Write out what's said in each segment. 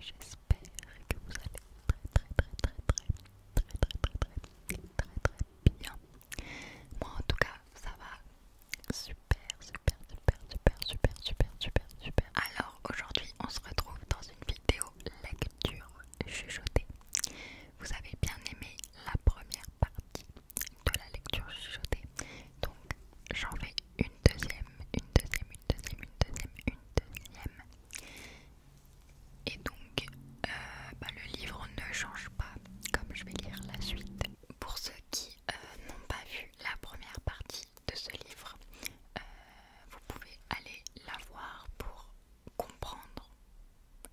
J'espère que vous allez très très très très très très très très très très bien. Moi en tout cas ça va super super super super super super super. Alors aujourd'hui on se retrouve dans une vidéo lecture chuchoter. Vous avez bien aimé la première partie de la lecture chuchotée, donc j'en vais une deuxième, une deuxième, une deuxième, une deuxième, une deuxième. Et donc, euh, bah, le livre ne change pas, comme je vais lire la suite. Pour ceux qui euh, n'ont pas vu la première partie de ce livre, euh, vous pouvez aller la voir pour comprendre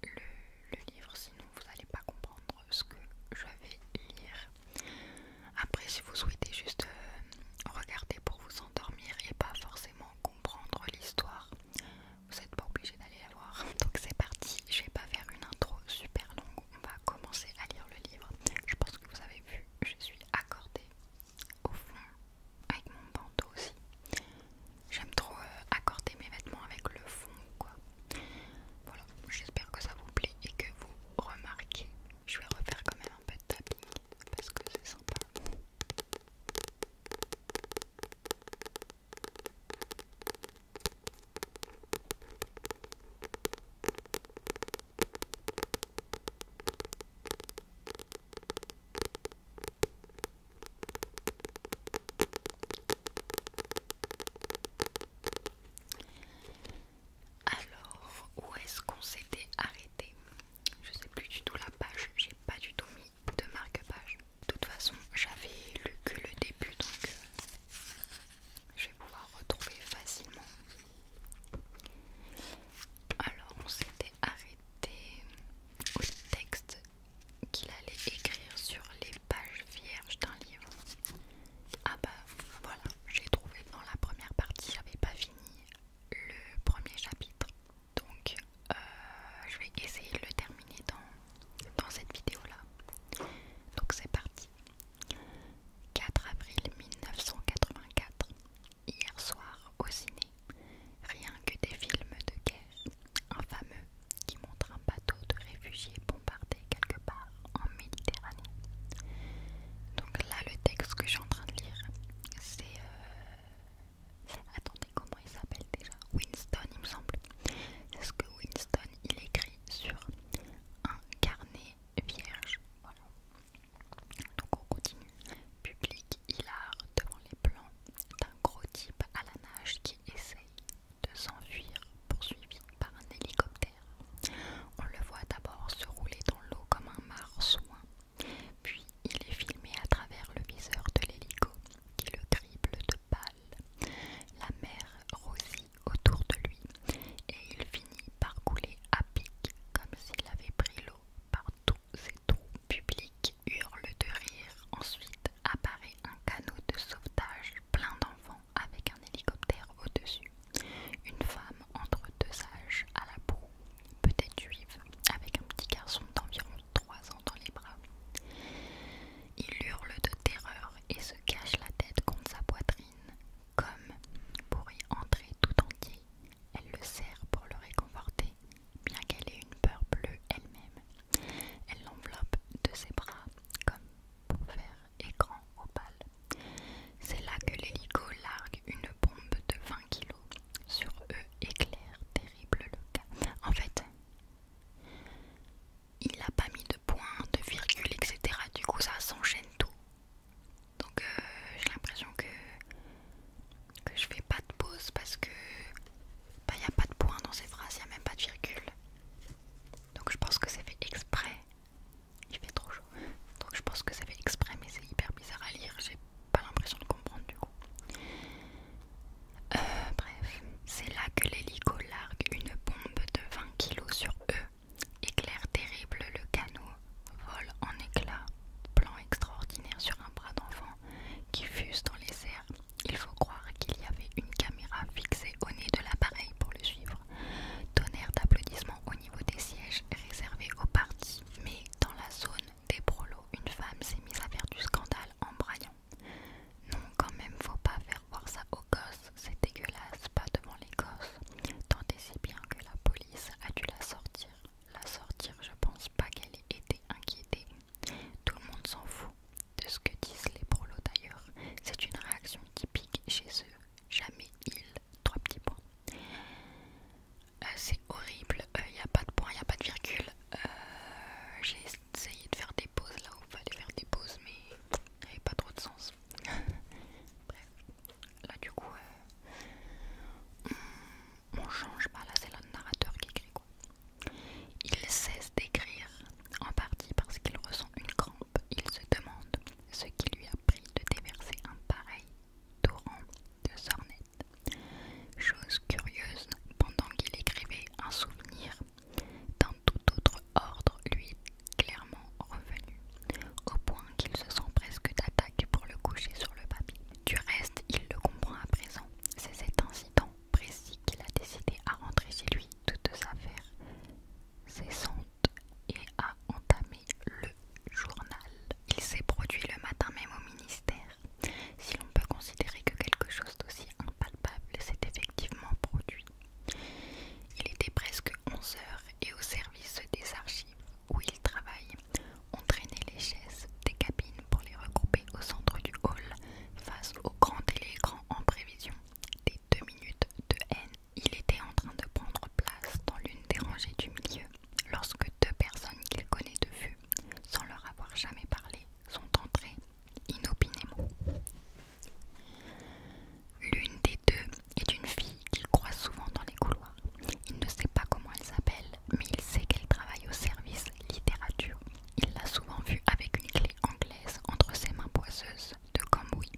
le, livre, sinon vous n'allez pas comprendre ce que je vais lire. Après, si vous souhaitez juste euh, regarder pour vous endormir et pas forcément comprendre l'histoire, vous n'êtes pas obligé d'aller la voir. Donc c'est parti, je vais pas faire une intro super longue, on va commencer à lire le livre. Je pense que vous avez vu, je suis accordée au fond avec mon bandeau aussi. J'aime trop euh, accorder mes vêtements avec le fond quoi. Voilà, j'espère que ça vous plaît et que vous remarquez. Je vais refaire quand même un peu de parce que c'est sympa. Alors, où est-ce qu'on s'était arrêté Je sais plus du tout la page, j'ai pas du tout mis de marque-page. De toute façon, j'avais lu que le début donc euh, je vais pouvoir retrouver facilement. Alors, on s'était arrêté des, textes qu'il allait écrire sur les pages vierges d'un livre. Ah bah voilà, j'ai trouvé dans la première partie, j'avais pas fini le premier chapitre. Donc euh, je vais essayer de le terminer dans cette vidéo là. Donc c'est parti. 4 avril 1984 hier soir au ciné, rien que des films de guerre, un fameux qui montre un bateau de réfugiés bombardé quelque part en Méditerranée. Donc là, le texte que je suis en train de lire, c'est... Euh, attendez, comment il s'appelle déjà Winston, il me semble. C'est ce que Winston, il écrit sur un carnet vierge. Voilà. Donc on continue. Public il a devant les plans d'un gros type à la nage qui essaye de s'enfuir, poursuivi par un hélicoptère. On le voit d'abord se rouler dans l'eau comme un marsouin, puis il est filmé à travers le viseur de l'hélico qui le triple de pâle. La mer rosit autour de lui et il finit par couler à pic comme s'il avait pris l'eau par tous ses trous public hurle de rire. Ensuite apparaît un canot de sauvetage plein d'enfants avec un hélicoptère au-dessus. Une femme entre deux âges à la peau, peut-être juive, avec un petit garçon d'environ trois ans dans les bras. Il hurle de terreur et se cache la tête contre sa poitrine, comme pour y entrer tout entier. Elle le sert pour le réconforter, bien qu'elle ait une peur bleue elle-même. Elle l'enveloppe de ses bras comme pour faire écran opale. C'est là que l'hélico largue une bombe de 20 kilos. sur eux éclaire terrible le cas. En fait, il n'a pas mis de point, de virgule, etc. Du coup, ça s'enchaîne tout. Donc euh, j'ai l'impression que, que je fais pas de pause parce que n'y bah, a pas de point dans ces phrases, il n'y a même pas de virgule. Donc je pense que c'est fait exprès. Il fait trop chaud. Donc je pense que ça fait exprès mais c'est hyper bizarre à lire. J'ai pas l'impression de comprendre du coup. Euh, bref, c'est là que l'hélico largue une bombe de 20 kg sur eux. Éclaire terrible le canot Vol en éclats, plan extraordinaire sur un bras d'enfant, qui fuse dans les airs. Il faut croire qu'il y avait une caméra fixée au nez de l'appareil pour le suivre. Tonnerre d'applaudissements au niveau des sièges réservés aux partis. Mais dans la zone des prolos, une femme s'est mise à faire du scandale en braillant. Non, quand même, faut pas faire voir ça aux gosses, c'est dégueulasse, pas devant les gosses. Tant et si bien que la police a dû la sortir la sortir, je pense pas qu'elle ait été inquiétée. Tout le monde s'en fout de ce que disent les prolos d'ailleurs. C'est une réaction typique chez eux. Jamais il Trois petits points. Euh, c'est horrible. Il euh, n'y a pas de point, il n'y a pas de virgule. Euh, j'ai essayé de faire des pauses là où il fallait faire des pauses, mais il n'y avait pas trop de sens. Bref. Là, du coup, hmm on change pas, là c'est le narrateur qui écrit Il cesse d'écrire, en partie parce qu'il ressent une crampe. Il se demande ce qui lui a pris de déverser un pareil torrent de sornettes. Chose curieuse, pendant qu'il écrivait un souvenir d'un tout autre ordre lui est clairement revenu, au point qu'il se sent presque d'attaque pour le coucher sur le papier. Du reste, il le comprend à présent. C'est cet incident précis qu'il a décidé à rentrer chez lui toutes affaires cessantes et à entamer le journal. Il s'est produit le matin même au ministère. Si l'on peut considérer que quelque chose d'aussi impalpable s'est effectivement produit. Il était presque 11 h et au service des archives où il travaille, on traînait les chaises des cabines pour les regrouper au centre du hall, face au grand télécran en prévision. Des deux minutes de haine, il était en train de prendre place dans l'une des rangées du milieu, lorsque deux personnes qu'il connaît de vue, sans leur avoir jamais parlé, sont entrées inopinément. L'une des deux est une fille qu'il croise souvent dans les couloirs. Il ne sait pas comment elle s'appelle, mais il sait qu'elle travaille au service littérature. Il l'a souvent vue avec une clé anglaise entre ses mains poisseuses de Cambouis.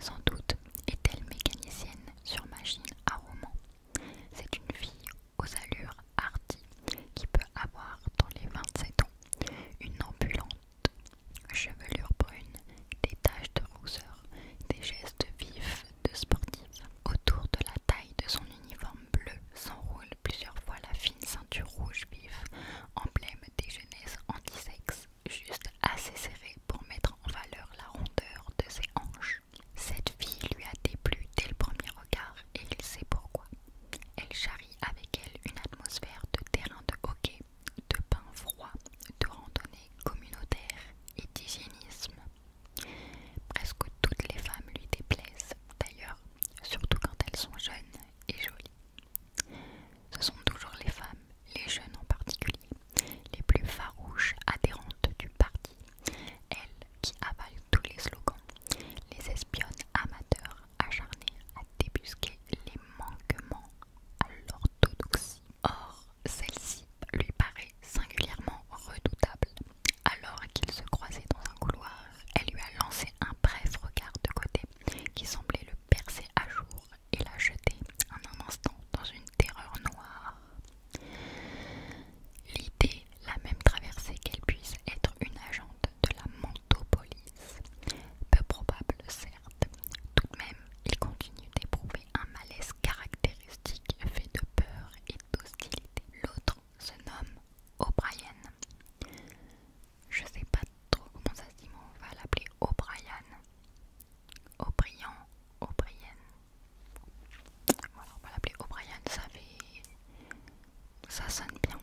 Sans doute est-elle mécanicienne sur machine à roman. C'est une fille aux allures hardies qui peut avoir dans les 27 ans une ambulante chevelure brune, des taches de rousseur, des gestes vifs de sportive. Autour de la taille de son uniforme bleu s'enroule plusieurs fois la fine ceinture rouge vif, emblème des jeunesses anti-sexe, juste assez serrée pour mettre en valeur la rondeur de ses hanches. Cette fille lui a déplu dès le premier regard et il sait pourquoi. Elle charrie avec elle une atmosphère de terrain de hockey, de pain froid, de randonnée communautaire et d'hygiénisme. Presque toutes les femmes lui déplaisent, d'ailleurs, surtout quand elles sont jeunes et jolies. Ce sont toujours les femmes, les jeunes en particulier, les plus farouches adhérentes du parti, elles qui avalent tous les slogans, les espionnes amateurs acharnés à débusquer les manquements à l'orthodoxie Or, celle-ci lui paraît singulièrement redoutable. Alors qu'il se croisait dans un couloir, elle lui a lancé un bref regard de côté qui semblait le percer à jour et l'a jeté en un instant dans une terreur noire. L'idée l'a même traversée qu'elle puisse être une agente de la Montopolis. Peu probable, certes. Tout de même, il continue d'éprouver un malaise caractéristique fait de peur et d'hostilité. L'autre se nomme O'Brien. Je sais pas trop comment ça se dit, mais on va l'appeler O'Brien. O'Brien, O'Brien. Voilà, on va l'appeler O'Brien, ça fait. ça sonne bien.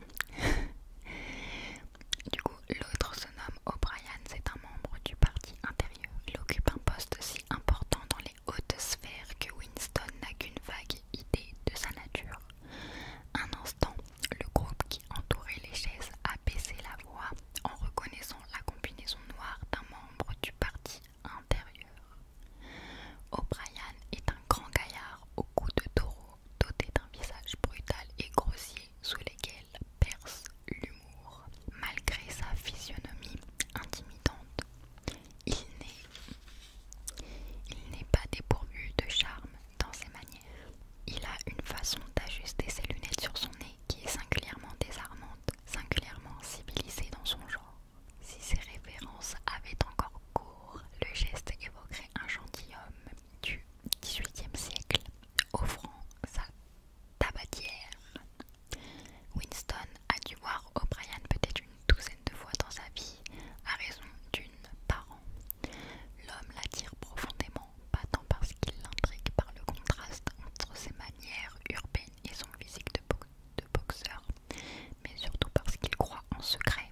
du coup, l'autre se nomme O'Brien, c'est un membre du parti Intérieur. Il occupe un poste si important dans les hautes sphères que Winston n'a qu'une vague idée de sa nature. Un instant, le groupe qui entourait les chaises a baissé la voix en reconnaissant la combinaison noire d'un membre du parti intérieur. O'Brien est un grand gaillard au cou de taureau, doté d'un visage brutal et grossier sous lesquels perce l'humour malgré sa physionomie intimidante. Il n'est pas dépourvu de charme dans ses manières. Il a une façon d'ajuster ses lunettes sur son nez qui est singulièrement désarmante, singulièrement civilisée dans son genre. Si ses références avaient encore cours, le geste évoquerait un gentilhomme du XVIIIe siècle, offrant sa tabatière. Winston a dû voir O'Brien peut-être une douzaine de fois dans sa vie, à raison d'une par an. L'homme l'attire profondément, pas tant parce qu'il l'intrigue par le contraste entre ses manières urbaines et son physique de, de boxeur, mais surtout parce qu'il croit en secret,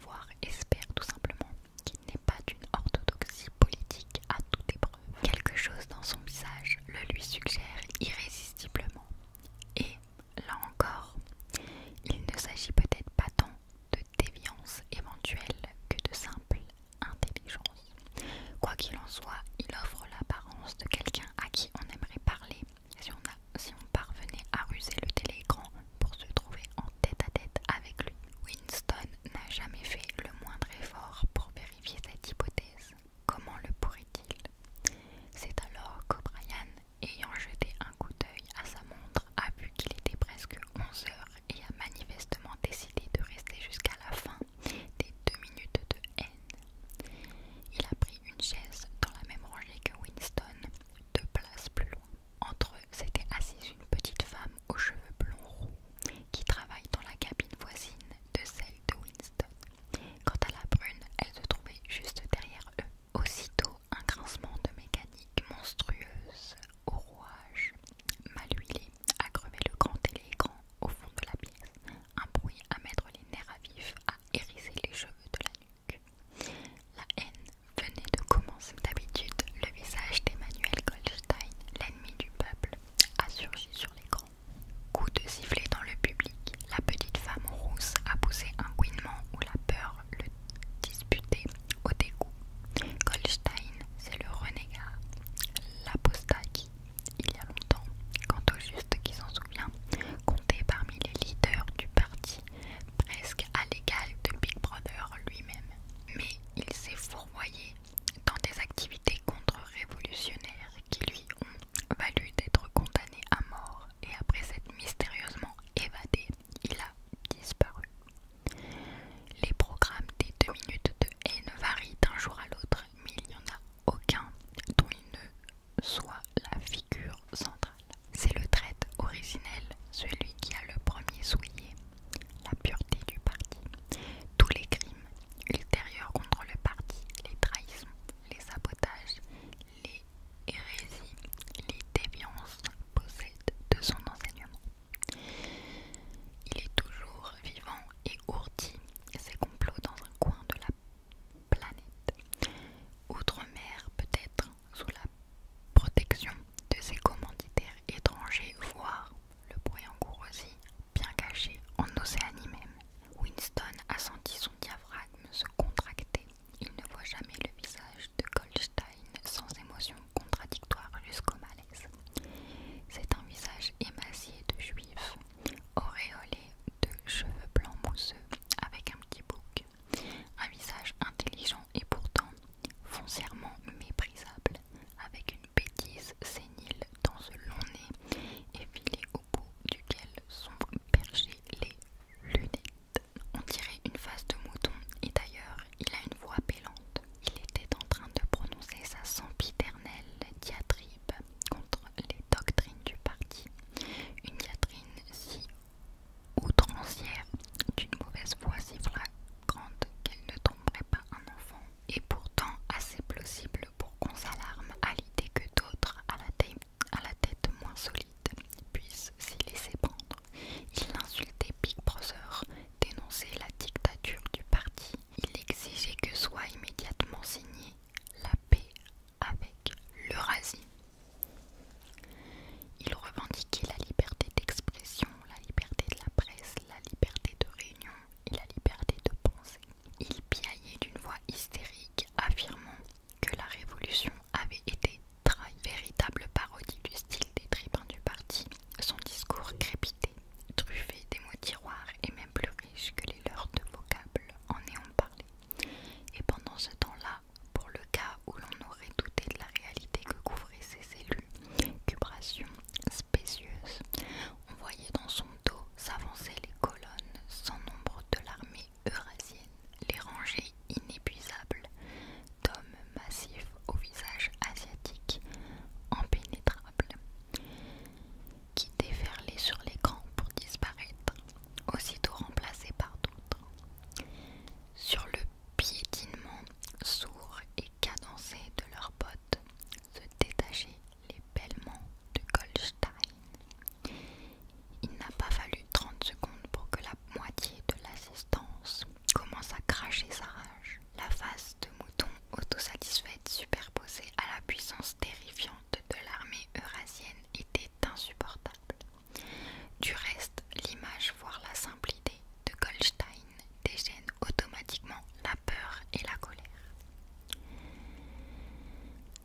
voire espère tout simplement qu'il n'est pas d'une orthodoxie politique à toute épreuve. Quelque chose dans son visage le lui suggère irrésistiblement. Et, là encore, il ne s'agit peut-être pas tant de déviance éventuelle que de simple intelligence. Quoi qu'il en soit, il offre l'apparence de quelqu'un à qui on aimerait parler si on, parvenait à ruser le télécran pour se trouver en tête à tête avec lui. Winston n'a jamais fait le moindre effort pour vérifier cette hypothèse. Comment le pourrait-il C'est alors qu'O'Brien, ayant jeté un coup d'œil à sa montre, a vu qu'il était presque 11 heures et a manifestement décidé de rester jusqu'à la fin des deux minutes de haine. Il a pris une chaise dans la même rangée que Winston, deux places plus loin. Entre eux s'était assise une petite femme aux cheveux blonds roux qui travaille dans la cabine voisine de celle de Winston. Quant à la brune, elle se trouvait juste derrière eux. Aussitôt, un grincement de mécanique monstrueuse au rouage mal huilé a crevé le grand téléécran au fond de la pièce, un bruit à mettre les nerfs à vif, à hérisser les cheveux de la nuque. La haine venait de commencer. D'habitude, le visage d'Emmanuel Goldstein, l'ennemi du peuple, a surgi sur l'écran Coup de sifflet dans le public, la petite femme rousse a poussé un gouinement où la peur le disputait au dégoût. Goldstein, c'est le renégat, l'apostat qui, il y a longtemps, quant au juste qui s'en souvient, comptait parmi les leaders du parti, presque à l'égal de Big Brother lui-même. Mais il s'est fourvoyé dans des activités contre-révolutionnaires qui lui ont valu d'être condamné à mort et après s'être mystérieusement évadé, il a disparu. Les programmes des deux minutes de haine varient d'un jour à l'autre, mais il n'y en a aucun dont il ne soit la figure centrale. C'est le traite originel, celui qui a le premier souillé, la pureté du parti. Tous les crimes L'intérieur contre le parti, les trahisons, les sabotages, les hérésies, les déviances possèdent de son enseignement. Il est toujours vivant et ourdi ses complots dans un coin de la planète. Outre-mer peut-être sous la protection de ses commanditaires étrangers, voire le bruit aussi, bien caché en Océanie même. Winston a senti son diaphragme se contracter. Il ne voit jamais le visage de Goldstein sans émotion contradictoire jusqu'au malaise. C'est un visage émacié de juif, auréolé de cheveux blancs mousseux avec un petit bouc. Un visage intelligent et pourtant foncièrement méprisable avec une bêtise sénile dans ce long nez, Et filé au bout duquel sont perchés les lunettes. On dirait une face de mouton, et d'ailleurs, il a une voix bêlante. Il était en train de prononcer sa sempiternelle diatribe contre les doctrines du parti, une diatribe si outrancière, d'une mauvaise voix si flagrante qu'elle ne tromperait pas un enfant et pourtant assez plausible pour qu'on s'alarme à l'idée que d'autres à, à la tête moins solide puissent s'y laisser prendre. Il insultait Big Brother, dénonçait la dictature du parti, il exigeait que soit immédiatement signée la paix avec l'Eurasie. Il revendiquait la liberté d'expression, la liberté de la presse, la liberté de réunion, et la liberté de penser. Il piaillait d'une voix hystérique, affirmant que la révolution avait été trahie. Véritable parodie du style des tribuns du parti, son discours crépitait, truffé des mots tiroirs et même plus riche que les leurs de vocables en ayant parlé. Et pendant ce temps-là, pour le cas où l'on aurait douté de la réalité que couvraient ces cellules « cubrations spécieuses, on voyait dans son dos s'avancer les colonnes sans nombre de l'armée eurasienne, les rangées inépuisables d'hommes massifs au visage asiatique impénétrables, qui déferlaient sur les camps pour disparaître, aussitôt remplacés par d'autres. Sur le piétinement sourd et cadencé de leurs bottes, se détacher les bêlements de Goldstein. Il n'a pas fallu 30 secondes pour que la moitié de l'assistance commence à cracher sa rage. La face de mouton autosatisfaite superposée à la puissance terrifiante de l'armée eurasienne était insupportable. Du reste, l'image, voire la simple idée de Goldstein Dégène automatiquement la peur et la colère.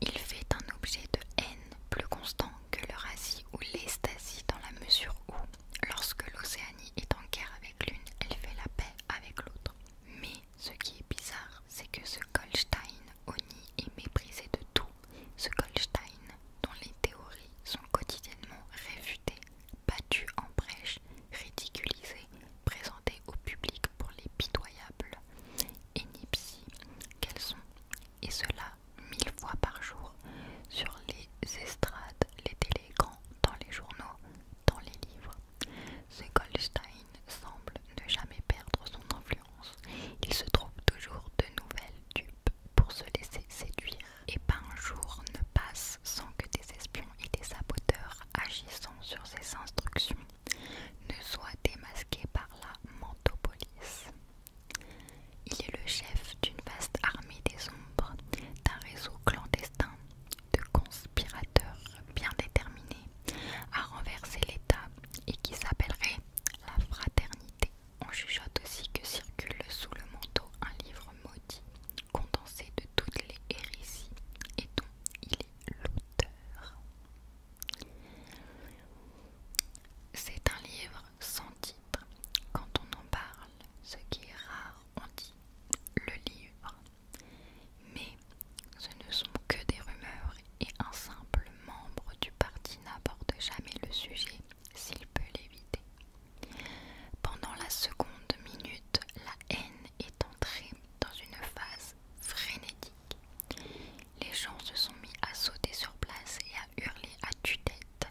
Il fait un objet de haine plus constant que l'Eurasie ou l'Estasie dans la mesure où, lorsque l'Océanie est en guerre avec l'une, elle fait la paix avec l'autre. Mais ce qui est bizarre, c'est que ce Goldstein honni est méprisé de tout. Ce Goldstein, dont les théories sont quotidiennement réfutées, battues en brèche, ridiculisées, présentées au public pour les pitoyables et qu'elles sont, et cela mille fois par jour, sur les estrades, les télégrams, dans les journaux, dans les livres. Ce Goldstein semble ne jamais perdre son influence. Il se trouve toujours de nouvelles dupes pour se laisser séduire. Et pas un jour ne passe sans que des espions et des saboteurs agissant sur ses instructions ne soient démasqués par la Mantopolis. Il est le chef d'une vaste armée des ombres, d'un réseau clandestin de conspirateurs bien déterminés à renverser l'État et qui s'appellerait la Fraternité. On chuchote aussi que circule sous le manteau un livre condensé de toutes les hérésies et dont il est l'auteur. C'est un livre sans titre. Quand on en parle, ce qui est rare, on dit le livre. Mais ce ne sont que des rumeurs et un simple membre du parti n'aborde jamais le sujet s'il peut l'éviter. Pendant la seconde minute, la haine est entrée dans une phase frénétique. Les gens se sont mis à sauter sur place et à hurler à tue-tête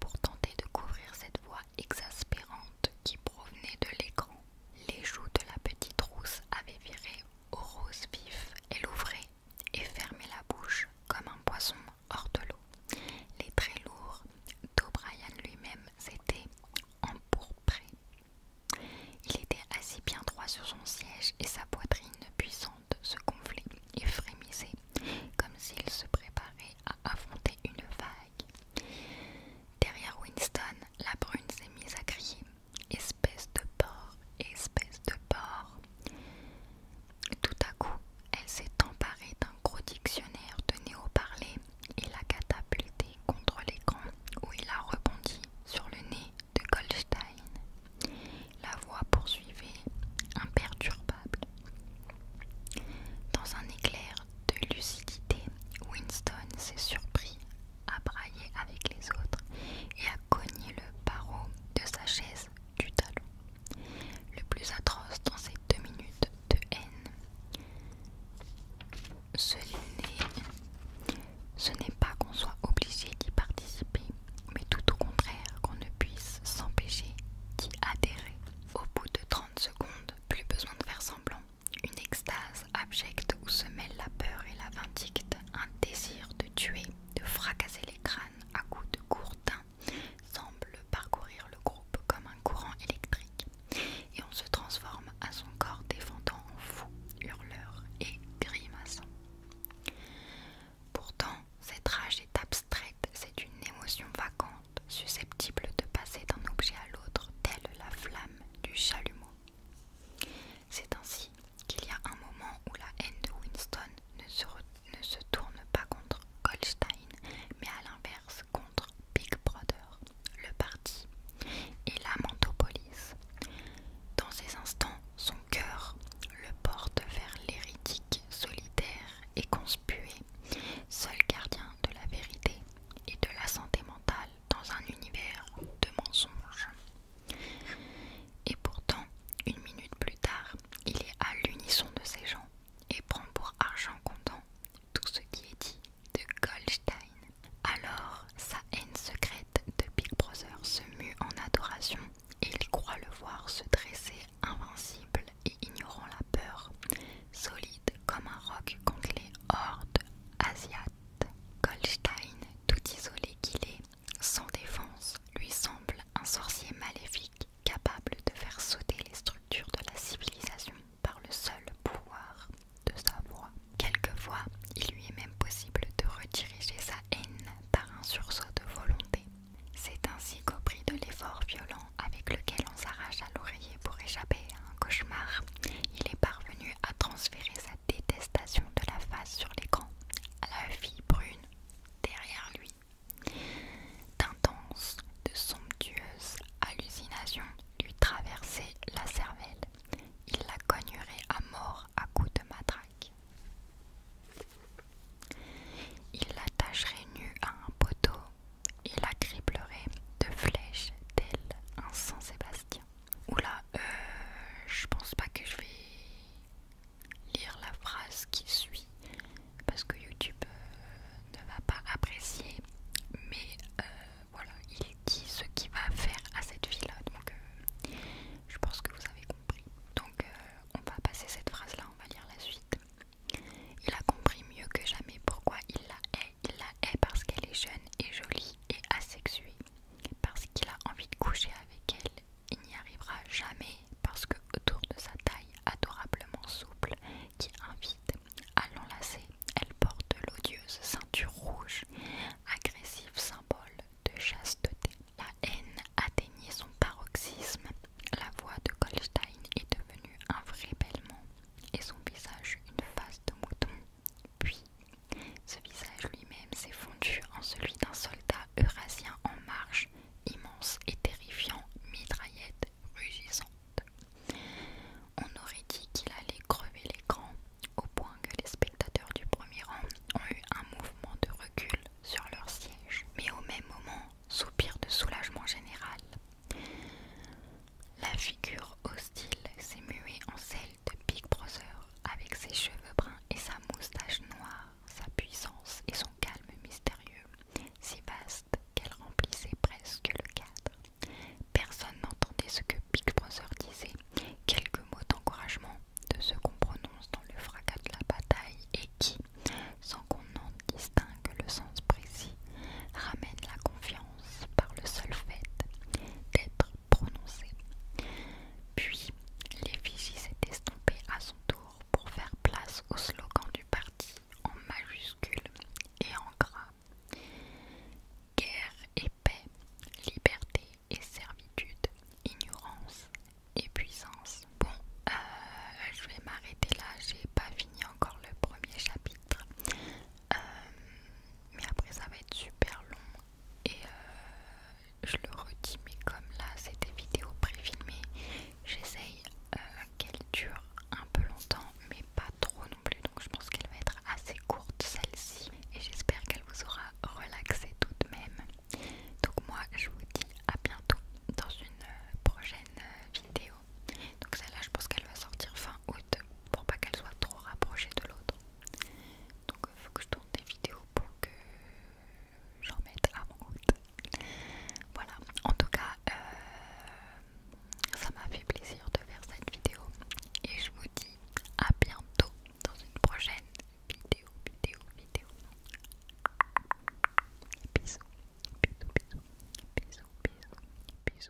pour tenter de couvrir cette voix exaspérante qui provenait de l'écran. Les joues de la petite rousse avaient viré au rose vif. Elle ouvrait et fermait la bouche comme un poisson hors de l'eau. Les traits lourds d'O'Brien lui-même s'était empourpré. Il était assis bien droit sur son siège et sa poitrine puissante se gonflait et frémissait comme s'il se préparait à affronter une vague. Derrière Winston, la brune s'est mise à crier Espèce de porc, espèce de porc. Tout à coup, elle s'est emparée d'un gros dictionnaire de néo-parler il a catapulté contre l'écran où il a rebondi sur le nez de Goldstein. La voix poursuivait, imperturbable. Dans un éclair de lucidité, Winston s'est surpris à brailler avec les autres et à cogner le barreau de sa chaise du talon. Le plus atroce dans ces deux minutes de haine, ce n'est pas qu'on soit obligé d'y participer, mais tout au contraire qu'on ne puisse s'empêcher d'y adhérer. Au bout de 30 secondes, plus besoin de faire semblant. Une extase abjecte où se mêle la peur et la vindicte, un désir de tuer, de fracasser les crânes à coups de gourdin, semble parcourir le groupe comme un courant électrique et on se transforme à son corps défendant en fou, hurleur et grimaçant. Pourtant, cette rage est abstraite, c'est une émotion vacante, susceptible de passer d'un objet à l'autre, telle la flamme du chalumeau. C'est ainsi qu'il y a un moment où la haine de Winston ne se, ne se tourne pas contre Goldstein, mais à l'inverse contre Big Brother, le parti, et la Mantopolis. Dans ces instants, son cœur le porte vers l'hérétique solitaire et conspué, seul gardien de la vérité et de la santé mentale dans un univers de mensonges. Et pourtant, une minute plus tard, il est à l'unisson de ses gens et prend pour argent comptant tout ce qui est dit de Goldstein. Alors, sa haine secrète de Big Brother se mue en adoration et il croit le voir se dresser invincible et ignorant la peur, solide comme un roc contre les hordes Goldstein, tout isolé qu'il est, sans défense, lui semble un sorcier maléfique capable de faire sauter les structures de la civilisation par le seul pouvoir de sa voix. Quelquefois, il lui est même possible de rediriger sa haine par un sursaut de volonté. C'est ainsi qu'au prix de l'effort violent avec lequel on s'arrache à l'oreiller pour échapper à un cauchemar, il est parvenu à transférer sa détestation de la face sur l'écran à la fille brune derrière lui. D'intenses, de somptueuses hallucinations lui traversaient la cervelle. Il la cognerait à mort à coups de matraque. Il l'attacherait nue à un poteau et la criblerait de flèches tel un Saint-Sébastien. Oula, euh, je pense pas que je vais lire la phrase qui suit parce que YouTube euh, ne va pas apprécier, mais euh, voilà, il dit ce qu'il va faire à cette fille-là, donc euh, je pense que vous avez compris. Donc on va passer cette phrase-là, on va lire la suite. Il a compris mieux que jamais pourquoi il la hait. Il la hait parce qu'elle est jeune et jolie et asexuée, parce qu'il a envie de coucher avec elle. Il n'y arrivera jamais parce que autour de sa taille adorablement souple qui invite à elle porte l'odieuse ceinture rouge, agressif symbole de chasteté. La haine atteignait son paroxysme. La voix de Goldstein est devenue un vrai bêlement et son visage une face de mouton. Puis, ce visage lui-même s'est fondu en celui d'un soldat eurasien en marche, immense et terrifiant, mitraillette rugissant on aurait dit qu'il allait crever l'écran, au point que les spectateurs du premier rang ont eu un mouvement de recul sur leur siège, mais au même moment, soupir de soulagement général. La figure hostile s'est muée en celle de Big Brother, avec ses cheveux bruns et sa moustache noire, sa puissance et son calme mystérieux, si vaste qu'elle remplissait presque le cadre. Personne n'entendait ce que Big Brother disait, quelques mots d'encouragement de ce qu'on prononce dans le fracas de la bataille et qui, sans qu'on en distingue le sens précis, Ramène la confiance par le seul fait d'être prononcé Puis, l'effigie s'est estompée à son tour pour faire place au slogan du parti en majuscule et en gras. Guerre et paix, liberté et servitude, ignorance et puissance. Bon, euh, je vais m'arrêter là, j'ai pas fini encore le premier chapitre. Euh, mais après ça va être super long et euh, je le redis mais comme là c'était vidéo préfilmée J'essaye euh, qu'elle dure un peu longtemps, mais pas trop non plus. Donc je pense qu'elle va être assez courte celle-ci. Et j'espère qu'elle vous aura relaxé tout de même. Donc moi je vous dis à bientôt dans une euh, prochaine euh, vidéo. Donc celle-là je pense qu'elle va sortir fin août pour pas qu'elle soit trop rapprochée de l'autre. Donc faut que je tourne des vidéos pour que j'en mette avant août. Voilà, en tout cas, euh, ça m'a fait plaisir de faire cette vidéo et je vous dis à bientôt dans une prochaine vidéo, vidéo, vidéo. bisous, bisous, bisous, bisous, bisous.